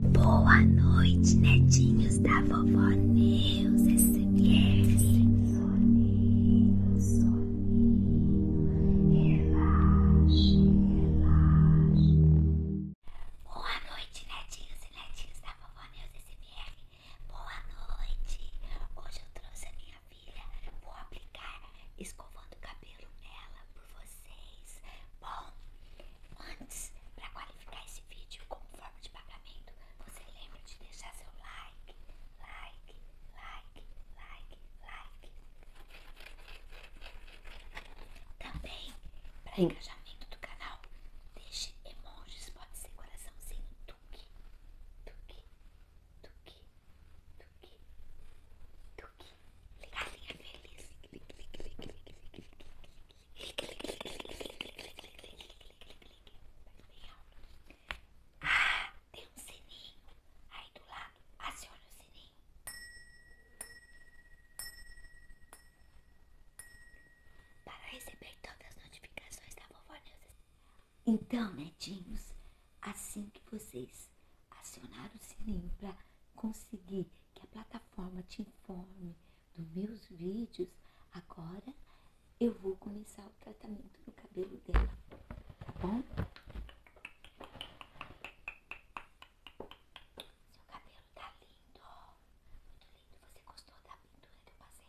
Boa noite, netinhos da vovó Neus SMR. Soninho, soninho, relaxe, relaxe. Boa noite, netinhos e netinhos da vovó Neus SMR. Boa noite. Hoje eu trouxe a minha filha. Vou aplicar escovando o cabelo nela por vocês. Bom, Antes, para qualificar esse vídeo como forma de pagamento, você lembra de deixar seu like, like, like, like, like. Também, para engajamento do canal, deixe emojis, pode ser coraçãozinho, tuque, tuque, tuque, tuque, tuque, Galinha feliz. Ah, tem um sininho aí do lado. Aciona o sininho. Para receber todas as notificações da vovó Neuza. Então, netinhos, assim que vocês acionaram o sininho para conseguir que a plataforma te informe dos meus vídeos, agora eu vou começar o tratamento no cabelo dela, tá bom? Seu cabelo tá lindo, muito lindo. Você gostou da pintura que eu passei?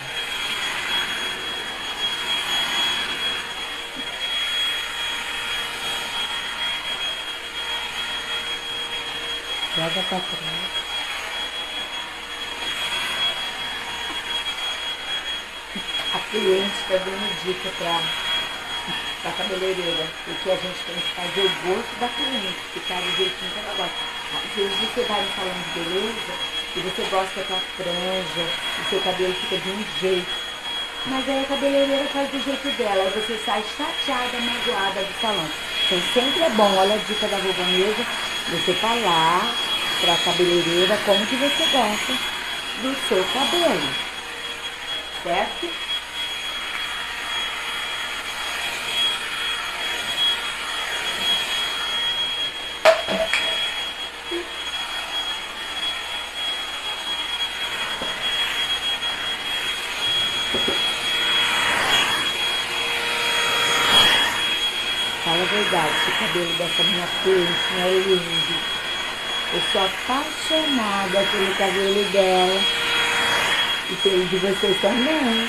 Joga pra trás. A cliente tá dando dica para a cabeleireira. O que a gente tem que fazer o gosto da cliente, ficar do jeitinho que ela gosta. Às vezes você vai no salão de beleza e você gosta da tua franja, o seu cabelo fica de um jeito. Mas aí a cabeleireira faz do jeito dela, aí você está chateada, magoada de salão. Então sempre é bom, olha a dica da Vanessa, você falar tá para a cabeleireira como que você gosta do seu cabelo. Certo? Fala a verdade, o cabelo dessa minha peixinha é né, lindo. Eu sou apaixonada pelo cabelo dela e pelo de vocês também.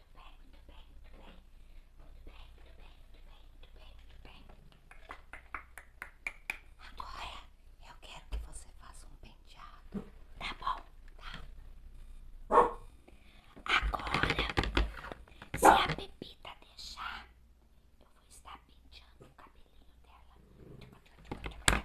muito bem, muito bem, muito bem, muito bem, muito bem, muito bem, muito bem, Agora eu quero que você faça um penteado, tá bom? Tá? Agora, se a Pepita deixar, eu vou estar penteando o cabelinho dela.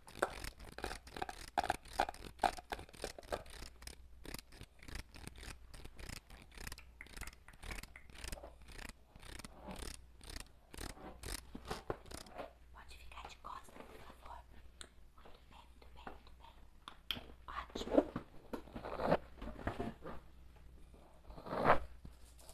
Pode ficar de costas, por favor. Muito bem, muito bem, muito bem. Ótimo.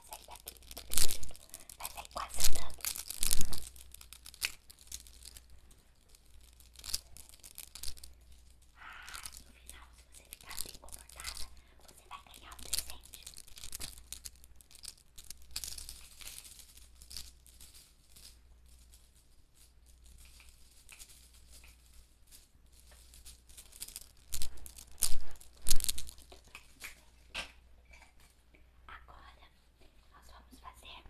pra sair daqui. Vai sair quase andando. Ah, no final, se você ficar bem comportada, você vai ganhar um presente. Agora nós vamos fazer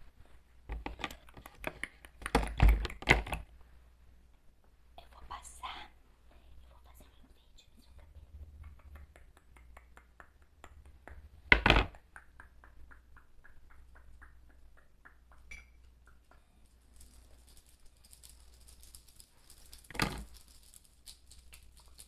eu vou passar, eu vou fazer um enfeite no seu cabelo.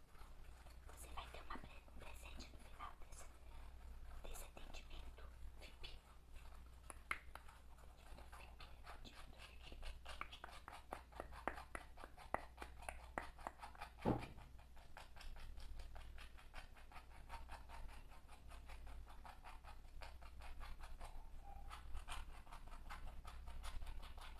Você vai ter uma, um presente no final desse, atendimento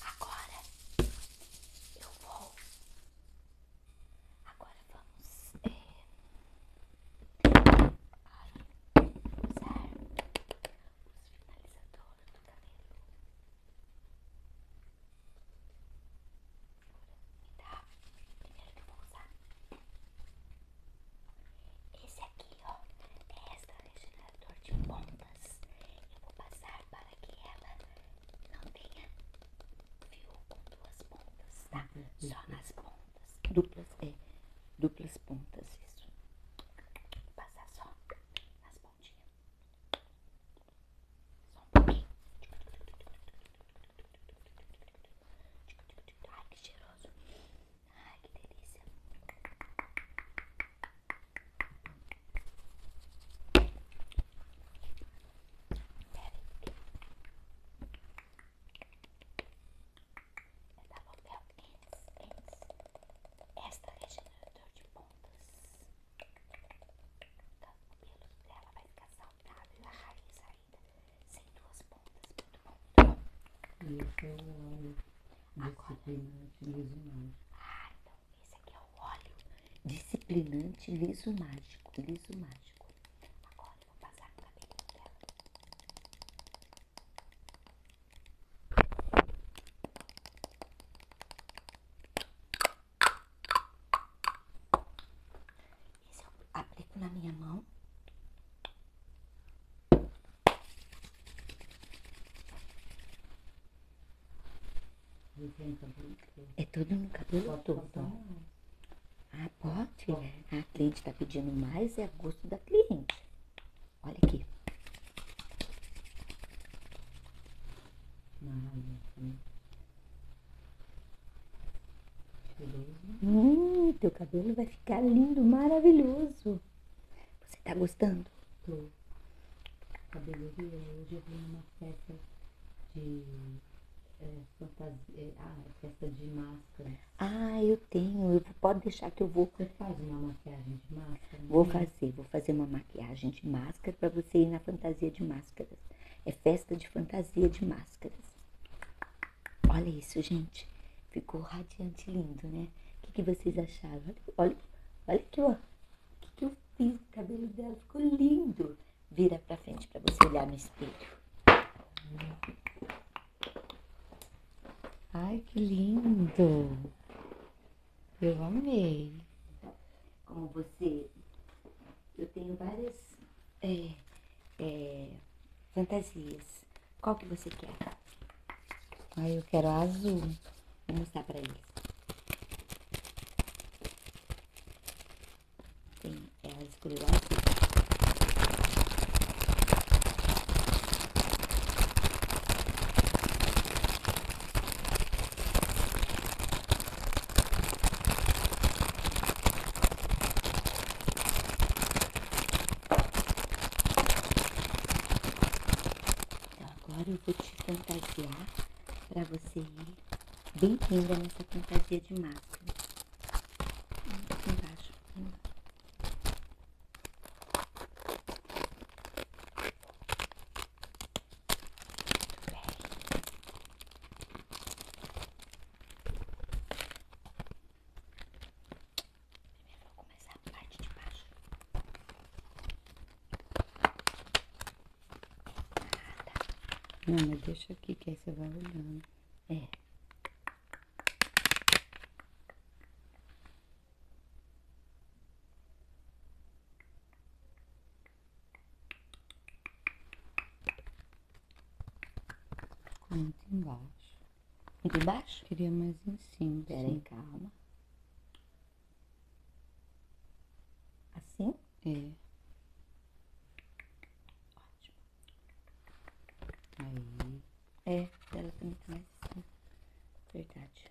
Agora eu vou. Agora vamos é, usar os finalizadores do cabelo. Me dá primeiro que eu vou usar. Esse aqui, ó, é regenerador de pontas. Eu vou passar para que ela não tenha fio com duas pontas, tá? Só nas pontas. Duplas, é. Duplas pontas, isso. Vou passar só nas pontinhas. Só um pouquinho. Ai, que cheiroso. Ai, que delícia. Eu tava papel Extra regenerador de pontas. Então, o cabelo dela vai ficar saudável e a raiz ainda sem duas pontas. E esse é o óleo disciplinante liso mágico. Ah, então esse aqui é o óleo disciplinante liso mágico. Liso mágico. Agora eu vou passar no cabelo dela. Esse eu aplico na minha mão. É tudo no cabelo todo. Ah, pode? A cliente está pedindo mais, é a gosto da cliente. Olha aqui. Hum, teu cabelo vai ficar lindo, maravilhoso. Você tá gostando? Tô. Cabeleireira, hoje eu vim numa festa é, é, ah, é festa de máscara. Ah, eu tenho. Eu, pode deixar que eu vou. Você faz uma maquiagem de máscara? Vou fazer, vou fazer uma maquiagem de máscara para você ir na fantasia de máscaras. É festa de fantasia de máscaras. Olha isso, gente. Ficou radiante lindo, né? O que, vocês acharam? Olha, olha aqui, ó. O que, eu fiz? O cabelo dela ficou lindo. Vira pra frente pra você olhar no espelho. Ai, que lindo. Eu amei. Como você... Eu tenho várias... É, é, fantasias qual que você quer? Aí eu quero a azul. Vou mostrar para eles. Tem, ela é escolheu a então, agora eu vou te fantasiar para você ir bem linda nessa fantasia de máscara. embaixo, vou começar a parte de baixo. Ah, Não, mas deixa aqui que aí você vai olhando. É. Muito embaixo. E de Queria mais em cima. Peraí, calma. Assim? É. Ótimo. Aí. É, ela também tá mais assim. Verdade.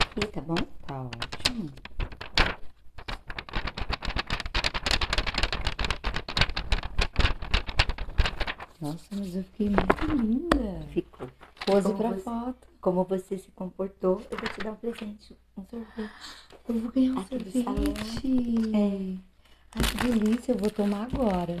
Aqui, tá bom? Tá ótimo. Nossa, mas eu fiquei muito linda. Ficou. Pose Como pra foto. Como você se comportou, eu vou te dar um presente, um sorvete. Eu vou ganhar um sorvete. É. Ai, que delícia, eu vou tomar agora.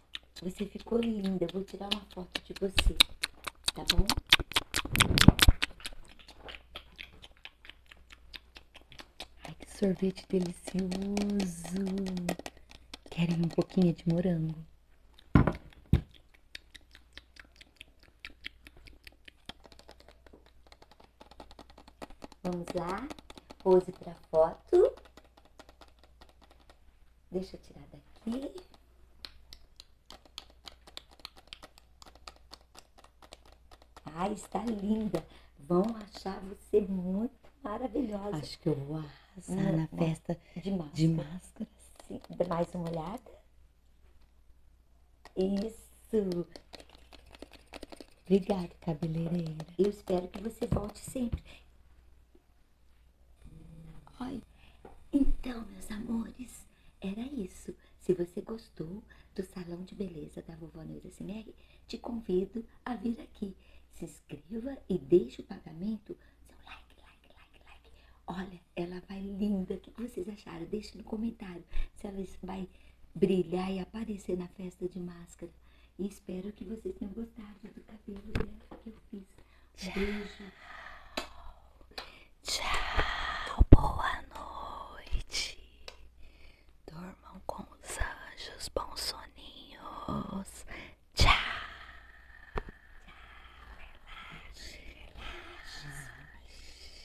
Você ficou linda. Eu vou tirar uma foto de você, tá bom? Ai, que sorvete delicioso. Querem um pouquinho de morango? Vamos lá. Pose para foto. Deixa eu tirar daqui. Ai, ah, está linda. Vão achar você muito maravilhosa. Acho que eu vou arrasar hum, na festa de máscara. De Mais uma olhada. Isso. Obrigada, cabeleireira. Eu espero que você volte sempre. Olha, então, meus amores, era isso. Se você gostou do Salão de Beleza da Vovó Neura Sinelli, te convido a vir aqui. Se inscreva e deixe o pagamento. Seu like, like, like, like. Olha, ela vai linda. O que vocês acharam? Deixe no comentário se ela vai brilhar e aparecer na festa de máscara. E espero que vocês tenham gostado do cabelo dela que eu fiz. Tchau. Beijo. Tchau. Boa noite. Dormam com os anjos. Bons soninhos. Tchau. Relaxe, relaxe.